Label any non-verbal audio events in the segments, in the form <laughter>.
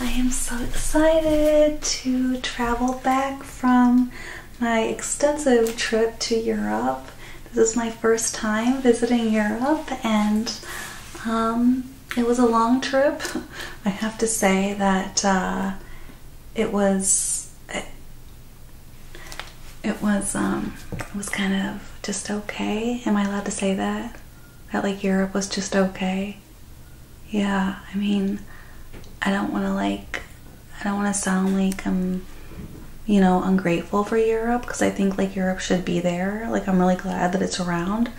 I am so excited to travel back from my extensive trip to Europe. This is my first time visiting Europe and um, it was a long trip. <laughs> I have to say that uh, it was it, it was um it was kind of just okay. Am I allowed to say that? That like Europe was just okay. Yeah, I mean, I don't want to like I don't want to sound like I'm you know ungrateful for Europe because I think like Europe should be there. Like I'm really glad that it's around,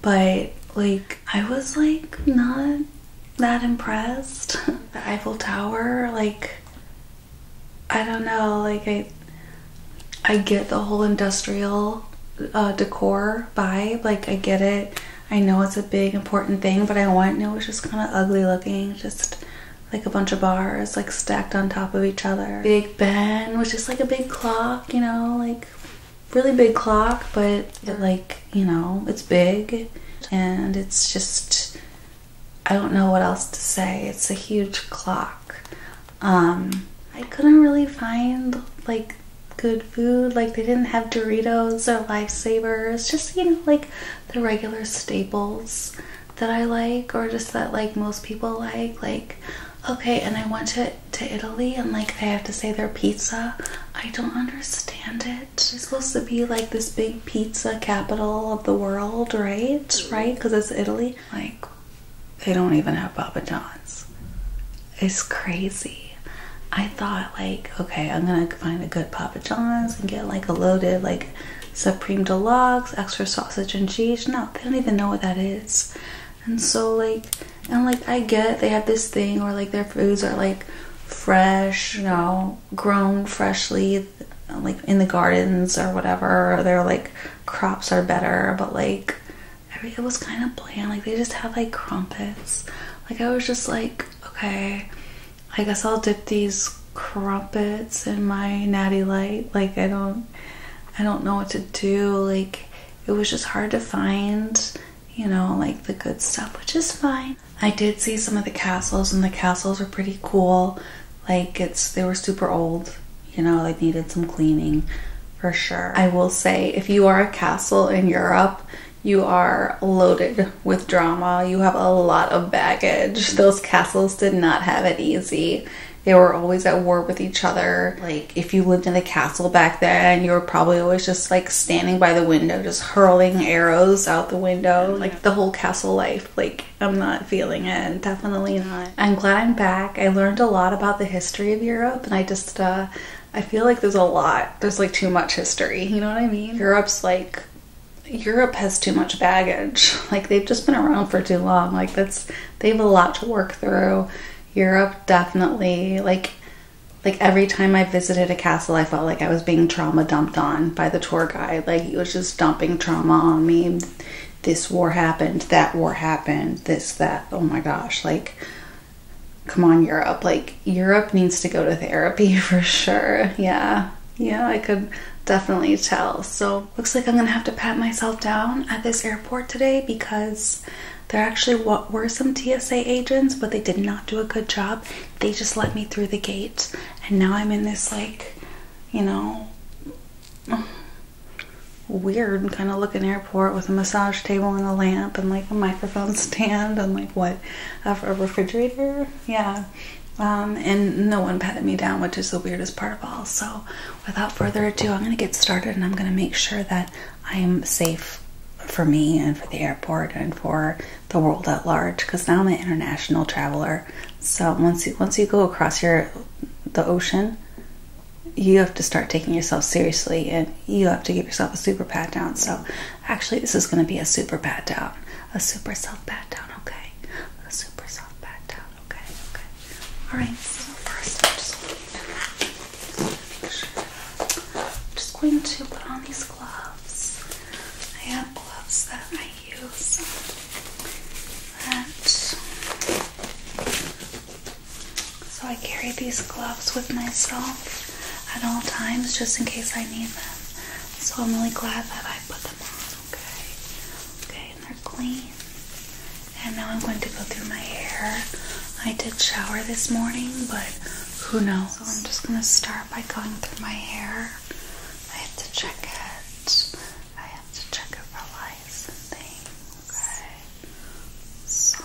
but like I was like not that impressed. the Eiffel Tower, like I don't know, like I I get the whole industrial uh, decor vibe, like I get it. I know it's a big important thing, but I want it was just kind of ugly looking, just like a bunch of bars like stacked on top of each other. Big Ben, was just like a big clock, you know, like really big clock, but like you know, it's big and it's just, I don't know what else to say. It's a huge clock. Um, I couldn't really find like good food. Like they didn't have Doritos or Lifesavers, just, you know, like the regular staples that I like or just that like most people like. Like, okay, and I went to, to Italy and like they have to say their pizza. I don't understand it it's supposed to be like this big pizza capital of the world, right? Right? Because it's Italy. Like, they don't even have Papa John's. It's crazy. I thought, like, okay, I'm gonna find a good Papa John's and get like a loaded, like, Supreme Deluxe, extra sausage and cheese. No, they don't even know what that is. And so, like, and like, I get they have this thing where like their foods are like fresh, No grown freshly, like in the gardens or whatever. Or their like crops are better, but like it was kind of bland. Like they just had like crumpets. Like I was just like, okay, I guess I'll dip these crumpets in my natty light. Like I don't, I don't know what to do. Like it was just hard to find, you know, like the good stuff, which is fine. I did see some of the castles, and the castles were pretty cool. Like it's they were super old, you know, they needed some cleaning for sure. I will say if you are a castle in Europe, you are loaded with drama. You have a lot of baggage. Those castles did not have it easy. They were always at war with each other. Like, if you lived in a castle back then, you were probably always just like standing by the window, just hurling arrows out the window. Like, the whole castle life. Like, I'm not feeling it. Definitely not. I'm glad I'm back. I learned a lot about the history of Europe, and I just, uh, I feel like there's a lot. There's like too much history. You know what I mean? Europe's like, Europe has too much baggage. <laughs> Like, they've just been around for too long. Like, that's, they have a lot to work through. Europe definitely, like, like every time I visited a castle, I felt like I was being trauma dumped on by the tour guide. Like he was just dumping trauma on me. This war happened, that war happened, this, that. Oh my gosh. Like, come on, Europe. Like, Europe needs to go to therapy <laughs> for sure. Yeah. Yeah, I could definitely tell. So, looks like I'm gonna have to pat myself down at this airport today because there actually were some TSA agents, but they did not do a good job. They just let me through the gate and now I'm in this like, you know, weird kind of looking airport with a massage table and a lamp and like a microphone <laughs> stand and like what a refrigerator yeah um, and no one patted me down which is the weirdest part of all so without further ado i'm going to get started and i'm going to make sure that i'm safe for me and for the airport and for the world at large because now I'm an international traveler. So once you, once you go across your the ocean, you have to start taking yourself seriously and you have to give yourself a super pat down. So actually this is going to be a super pat down, a super self pat down, okay? A super self pat down, okay? Okay. All right. So first I'm just going to, I'm just going to put on these gloves. I have gloves that I use that so I carry these gloves with myself at all times just in case I need them. So I'm really glad that I put them on, okay? Okay, they're clean. And now I'm going to go through my hair. I did shower this morning, but who knows? So I'm just gonna start by going through my hair. I have to check it. I have to check it for licensing, okay? So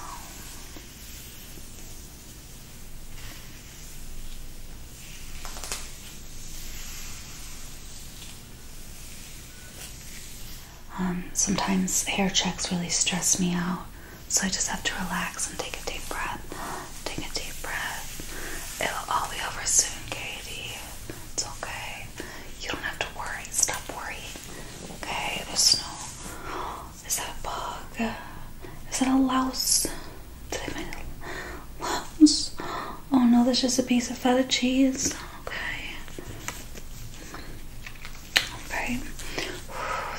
um, sometimes hair checks really stress me out, so I just have to relax and take a deep breath. Take a deep breath. It'll all be over soon, Katie. It's okay. You don't have to worry. Stop worrying. Okay? There's Is that a bug? Is that a louse? Did I make louse? Oh no, that's just a piece of feta cheese. Okay. Okay.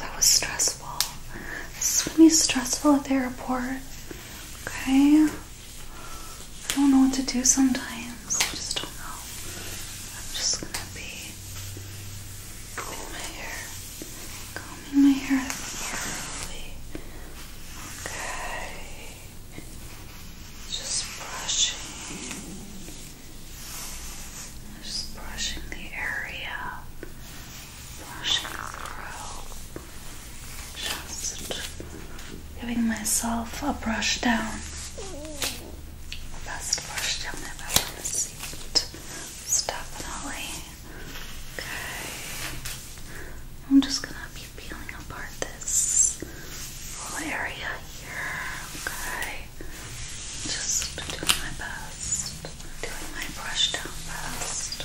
that was stressful. This is gonna be stressful at the airport. Okay. I don't know what to do sometimes. I just don't know. I'm just gonna be combing my hair. Combing my hair thoroughly. Okay. Just brushing. Just brushing the area just giving myself a brush down. best brush down I've ever received. It's definitely okay. I'm just gonna be peeling apart this whole area here, okay? Just doing my best, doing my brush down best.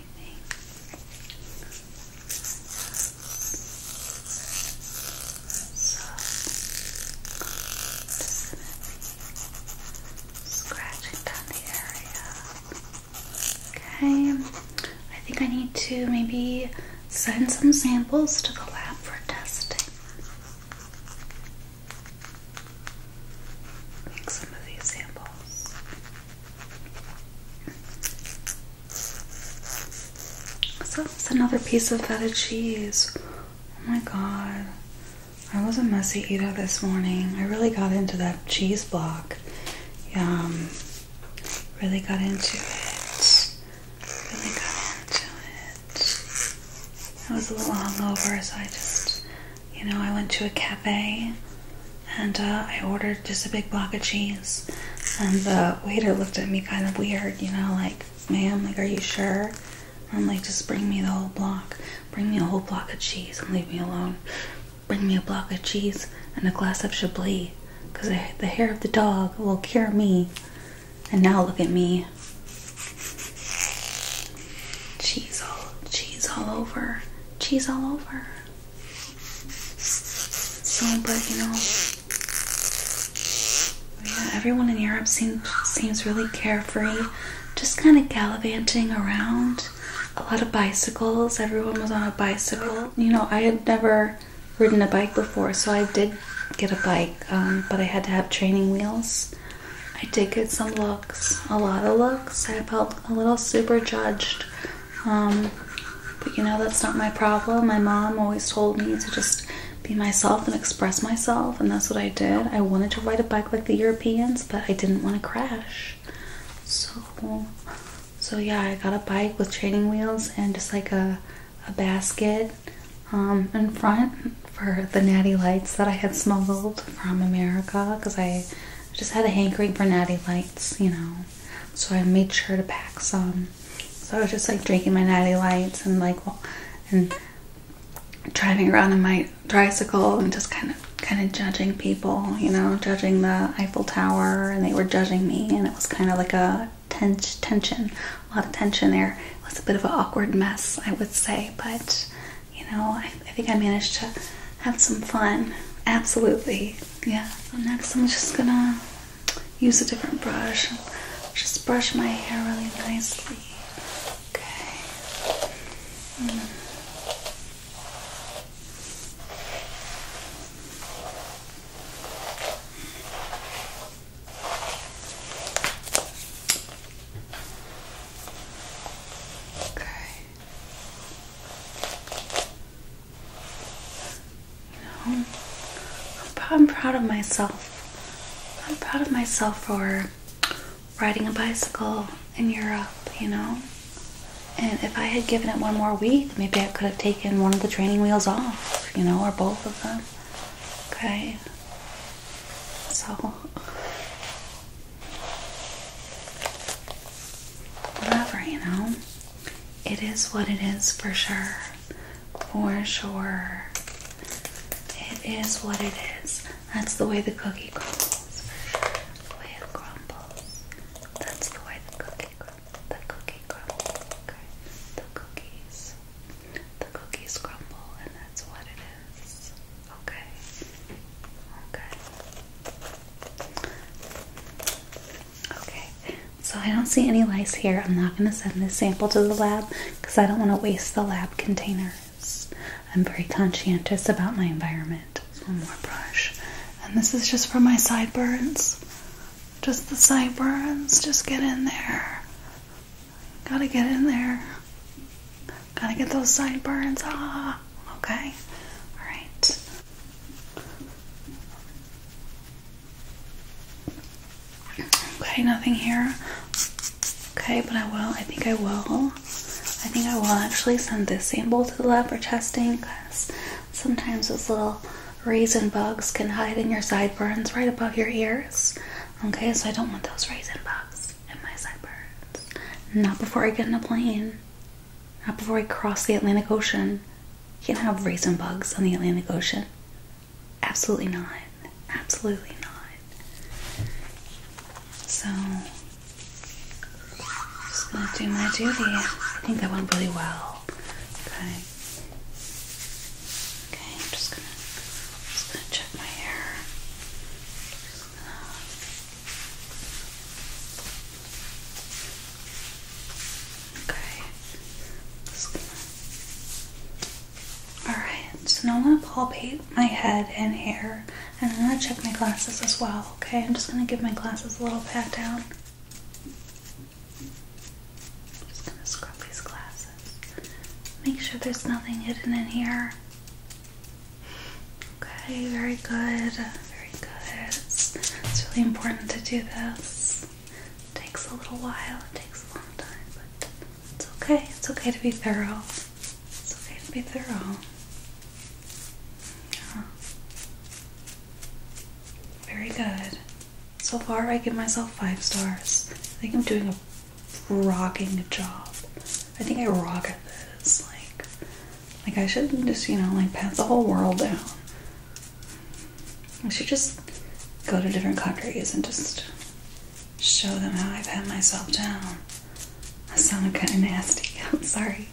scratching down the area. Okay. I think I need to maybe send some samples to the lab for testing. I some of these samples so it's another piece of feta cheese. Oh my god. I was a messy eater this morning. I really got into that cheese block. Yum. Really got into it. Really got into it. I was a little hungover, so I just you know, I went to a cafe and uh, I ordered just a big block of cheese, and the waiter looked at me kind of weird, you know, like, ma'am, like, are you sure? I'm like, just bring me the whole block. Bring me a whole block of cheese and leave me alone. Bring me a block of cheese and a glass of Chablis, because the hair of the dog will cure me. And now look at me. Cheese all, cheese all over, cheese all over. So, but you know, yeah, everyone in Europe seems seems really carefree, just kind of gallivanting around. A lot of bicycles. Everyone was on a bicycle. You know, I had never ridden a bike before, so I did get a bike, um, but I had to have training wheels. I did get some looks, a lot of looks. I felt a little super judged um, but you know, that's not my problem. My mom always told me to just be myself and express myself, and that's what I did. I wanted to ride a bike like the Europeans, but I didn't want to crash. So, so yeah, I got a bike with training wheels and just like a, a basket um, in front for the natty lights that I had smuggled from America because I just had a hankering for natty lights, you know so I made sure to pack some. So I was just like drinking my natty lights and like and driving around in my tricycle and just kind of kind of judging people, you know, judging the Eiffel Tower and they were judging me and it was kind of like a tens tension, a lot of tension there. It was a bit of an awkward mess, I would say, but you know, I think I managed to have some fun. Absolutely. Yeah, so next I'm just gonna use a different brush. Just brush my hair really nicely. Okay. Mm. Okay. You know, I'm, proud of myself. I'm proud of myself for riding a bicycle in Europe, you know. And if I had given it one more week, maybe I could have taken one of the training wheels off, you know, or both of them. Okay. So, whatever, you know it is what it is for sure. For sure. It is what it is. That's the way the cookie crumbles. For sure. The way it crumbles. That's the way the cookie crumbles. The cookie crumbles. The cookies. The cookies crumble, and that's what it is. Okay. Okay. Okay, so I don't see any lice here. I'm not going to send this sample to the lab because I don't want to waste the lab containers. I'm very conscientious about my environment. One more brush. And this is just for my sideburns. Just the sideburns. Just get in there. Gotta get in there. Gotta get those sideburns. Ah, okay. Alright. Okay, nothing here. Okay, but I will. I think I will. I think I will actually send this sample to the lab for testing because sometimes those little raisin bugs can hide in your sideburns right above your ears. Okay, so I don't want those raisin bugs in my sideburns. Not before I get in a plane. Not before we cross the Atlantic Ocean. You can't have raisin bugs on the Atlantic Ocean. Absolutely not. Absolutely not. So, just gonna do my duty. I think that went pretty well. Okay. Okay, I'm just gonna just gonna check my hair. Okay. Alright, so now I'm gonna palpate my head and hair and I'm gonna check my glasses as well, okay? I'm just gonna give my glasses a little pat down. just gonna scrub these glasses. Make sure there's nothing hidden in here. Okay, very good. Very good. It's really important to do this. It takes a little while, it takes a long time, but it's okay. It's okay to be thorough. It's okay to be thorough. Yeah. Very good. So far, I give myself five stars. I think I'm doing a rocking job. I think I rock at this. Like, like I should just, you know, like pat the whole world down. I should just go to different countries and just show them how I pat myself down. That sounded kind of nasty. <laughs> I'm sorry.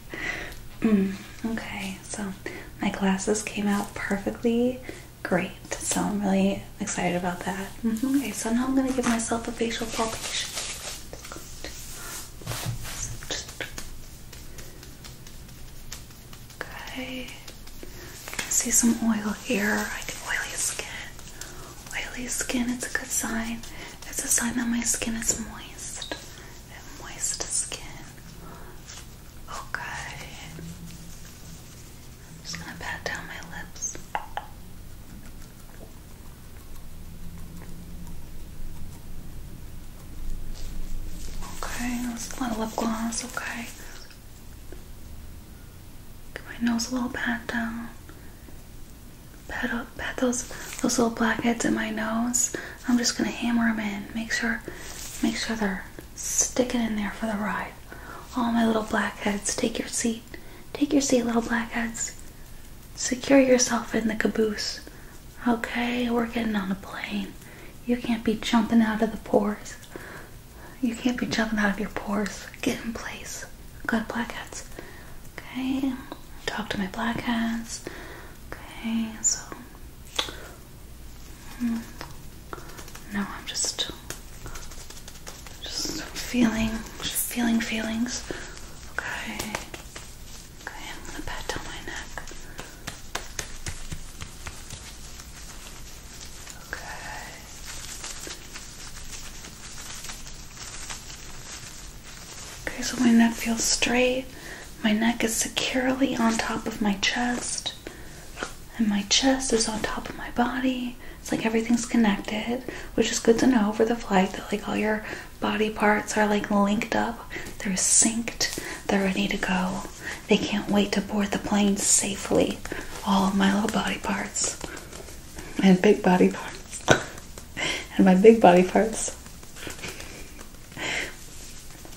Mm, okay, so my glasses came out perfectly great. So I'm really excited about that. Mm-hmm, okay, so now I'm gonna give myself a facial palpation. Just, Okay. see some oil here. I get oily skin. Oily skin, it's a good sign. It's a sign that my skin is moist. moist skin. Okay. just gonna pat down my lips. Okay, that's a lot of lip gloss, okay. Get my nose a little pat down. Pat up, pat those those little blackheads in my nose. I'm just gonna hammer them in. Make sure, make sure they're sticking in there for the ride. All my little blackheads, take your seat. Take your seat, little blackheads. Secure yourself in the caboose. Okay, we're getting on a plane. You can't be jumping out of the pores. You can't be jumping out of your pores. Get in place. Good black hats. Okay, talk to my black hats. Okay, so. Hmm, no, I'm just. Just feeling. feeling feelings. Okay. Okay, I'm gonna pat down my neck. Okay. Okay, so my neck feels straight. My neck is securely on top of my chest, and my chest is on top of my body. It's like everything's connected, which is good to know for the flight that like all your body parts are like linked up, they're synced, they're ready to go. They can't wait to board the plane safely. All of my little body parts and big body parts and my big body parts.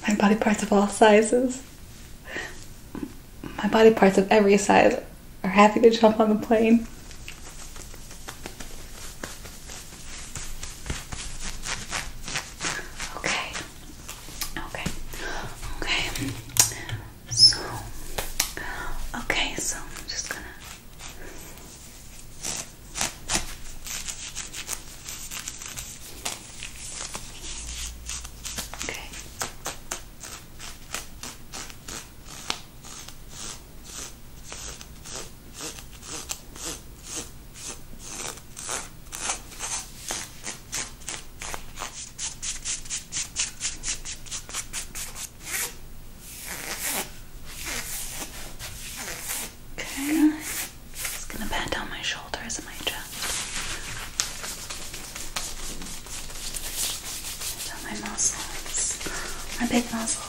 My body parts of all sizes. My body parts of every size are happy to jump on the plane. Okay, Okay. Okay. So okay, so I'm just gonna Okay. Okay. It's gonna pat down my shoulders and my chest. Down my muscles. My big muscles.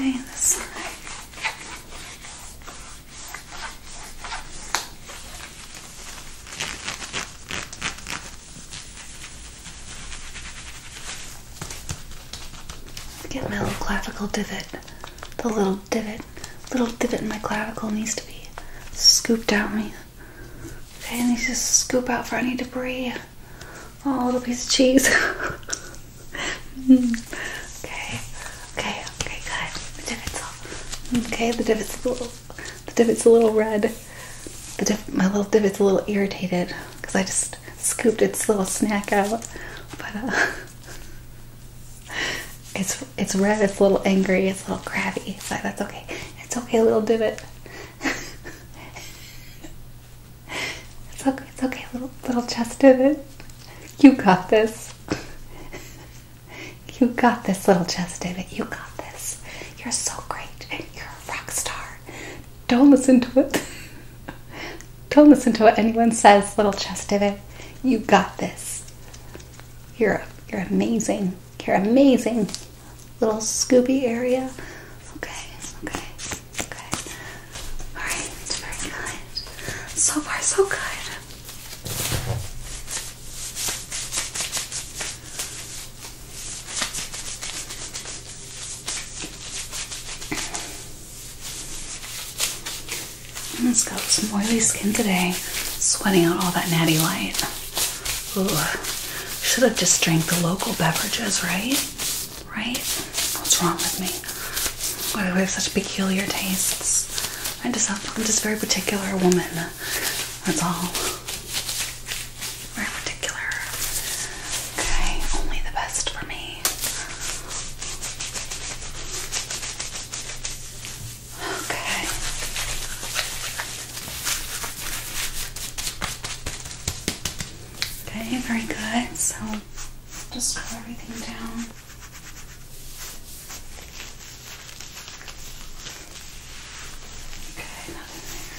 Okay, this side. Get my little clavicle divot, the little divot little divot in my clavicle needs to be scooped out. Me, okay, I need to scoop out for any debris. Oh, little piece of cheese. <laughs> okay, okay, okay, good. The divot's okay. The divot's a little, the divot's a little red. The my little divot's a little irritated because I just scooped its little snack out, but uh, <laughs> it's it's red, it's a little angry, it's a little crabby. But that's okay. It's okay, little divot. <laughs> it's okay, it's okay, little little chest divot. You got this. you got this, little chest divot. You got this. You're so great. You're a rock star. Don't listen to it. <laughs> Don't listen to what anyone says, little chest divot. You got this. You're you're amazing. You're amazing. Little Scooby area. Okay, okay, okay. All right, very good. So far, so good. And let's go some oily skin today. Sweating out all that natty light. Ugh. Should have just drank the local beverages, right? Right? What's wrong with me? Why do we have such peculiar tastes? I just I'm just very particular woman. That's all. Very particular. Okay, only the best for me. Okay. Okay, very good. So just scroll everything down. Okay, nothing there.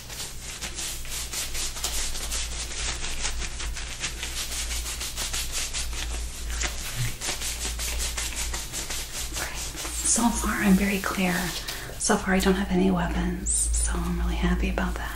So far, I'm very clear. So far, I don't have any weapons, so I'm really happy about that.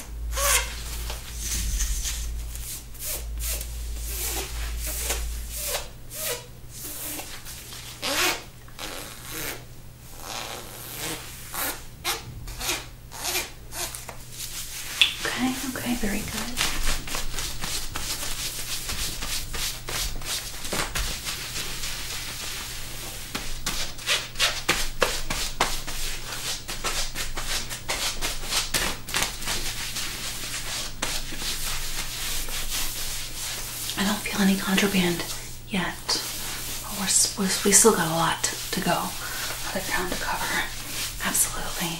Okay, okay, very good. I don't feel any contraband yet. But we're, we still got a lot to go, a of ground to cover. Absolutely.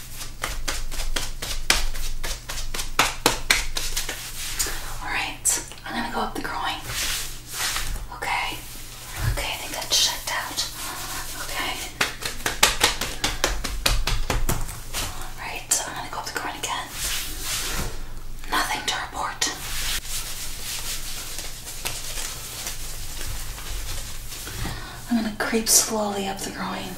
Alright, I'm gonna go up the groin. Okay. Okay, I think that's checked out. Okay. Alright, I'm gonna go up the groin again. Nothing to report. I'm going to creep slowly up the groin.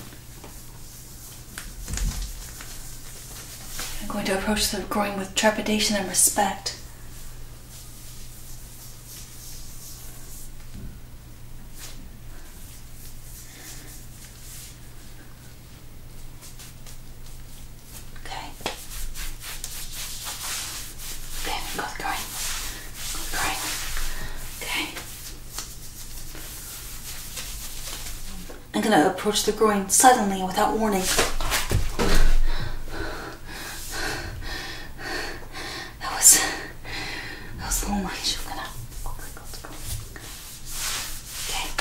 I'm going to approach the groin with trepidation and respect. Okay. Okay, go groin. Go groin. Okay. I'm going to approach the groin suddenly without warning. That was, that was long range. I'm going to Okay. Okay.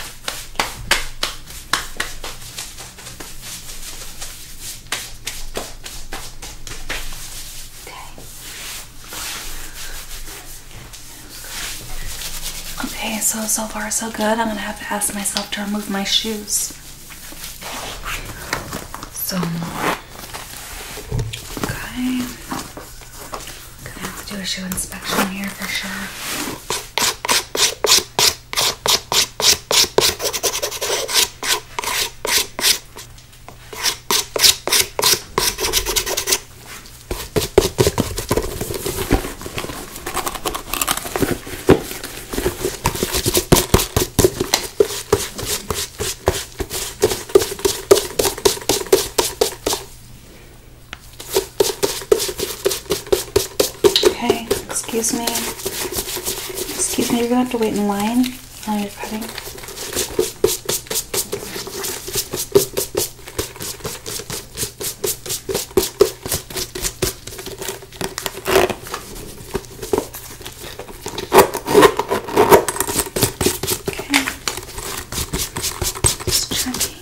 Okay, so so far so good. I'm gonna have to ask myself to remove my shoes. So okay. Gonna have to do a shoe inspection here for sure. Okay, excuse me. Excuse me, you're gonna have to wait in line. Now you're cutting. Okay. Just checking.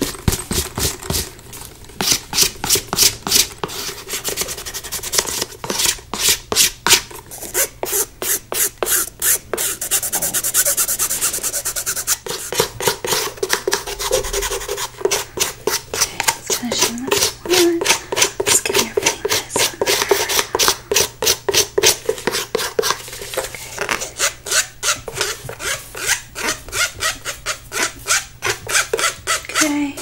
Finishing this one. Let's give your fingers Okay. okay.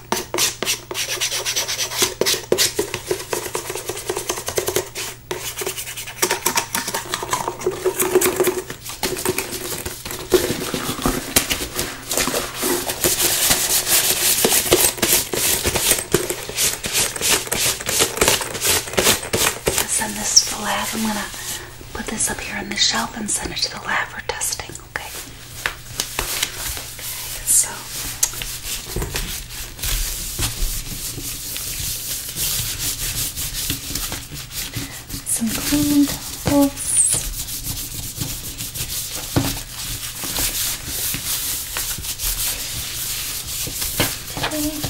Send this to the lab. I'm gonna put this up here on the shelf and send it to the lab for testing. Okay. Okay, so some clean towels. Okay. Okay.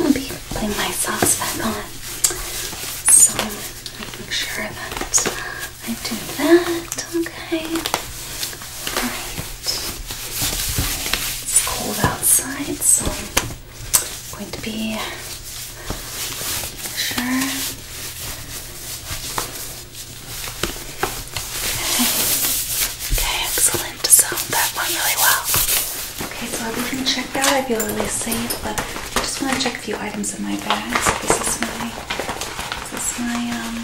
I'll be putting my socks back on. So making sure that I do that. Okay. Alright. It's cold outside, so I'm going to be making sure Okay, excellent. So that went really well. Okay, so everything checked out. I feel really safe, but I just want to check a few items in my bag. So this is my, this is my um,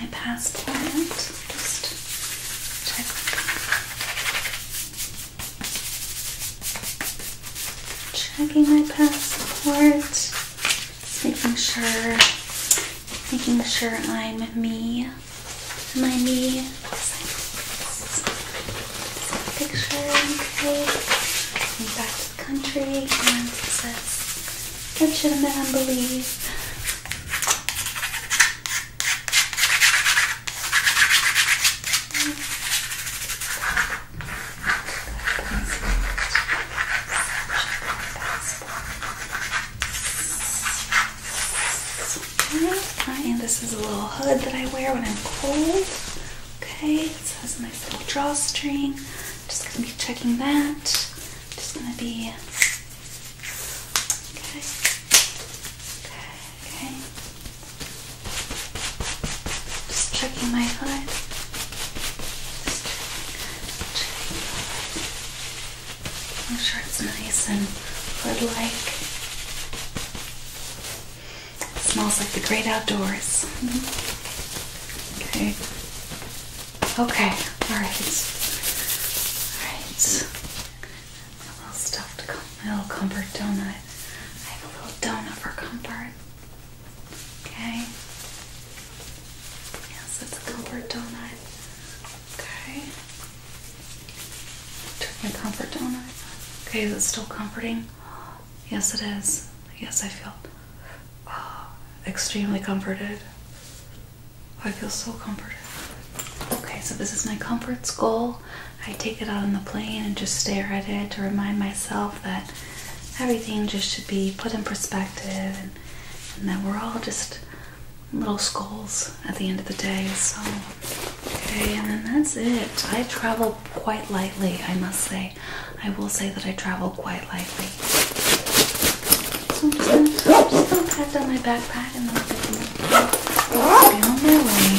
my passport. Just check. Checking my passport. making sure making sure I'm me. My me? Picture okay. i back to the country and it says legitimate on belief. Okay. And this is a little hood that I wear when I'm cold. Okay, it has a nice little drawstring. Just gonna be checking that. Just gonna be okay. Okay. Okay. Just checking my hood. Just checking, sure it's nice and hood-like. Smells like the great outdoors. Mm-hmm. Okay. Okay. All right. All right. A little stuffed, a little comfort donut. I have a little donut for comfort. Okay. Yes, it's a comfort donut. Okay. Turn comfort donut. Okay, is it still comforting? Yes, it is. Yes, I feel uh, extremely comforted. I feel so comforted. Okay, so this is my comfort's goal. I take it out on the plane and just stare at it to remind myself that everything just should be put in perspective and, and that we're all just little skulls at the end of the day. So, okay, and then that's it. I travel quite lightly, I must say. I will say that I travel quite lightly. So I'm just gonna, i pack down my backpack and then I'll be on my way.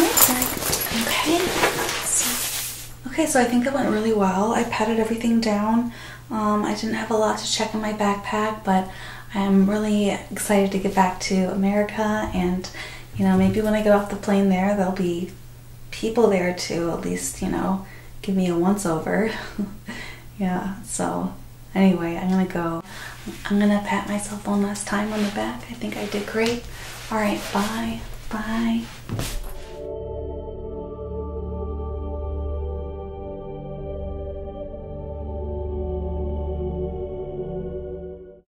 Okay. So, okay, so I think it went really well. I padded everything down. Um, I didn't have a lot to check in my backpack, but I'm really excited to get back to America and you know, maybe when I get off the plane there, there'll be people there to at least, you know, give me a once over. <laughs> yeah, so anyway, I'm gonna go. I'm gonna pat myself one last time on the back. I think I did great. All right, bye. Bye.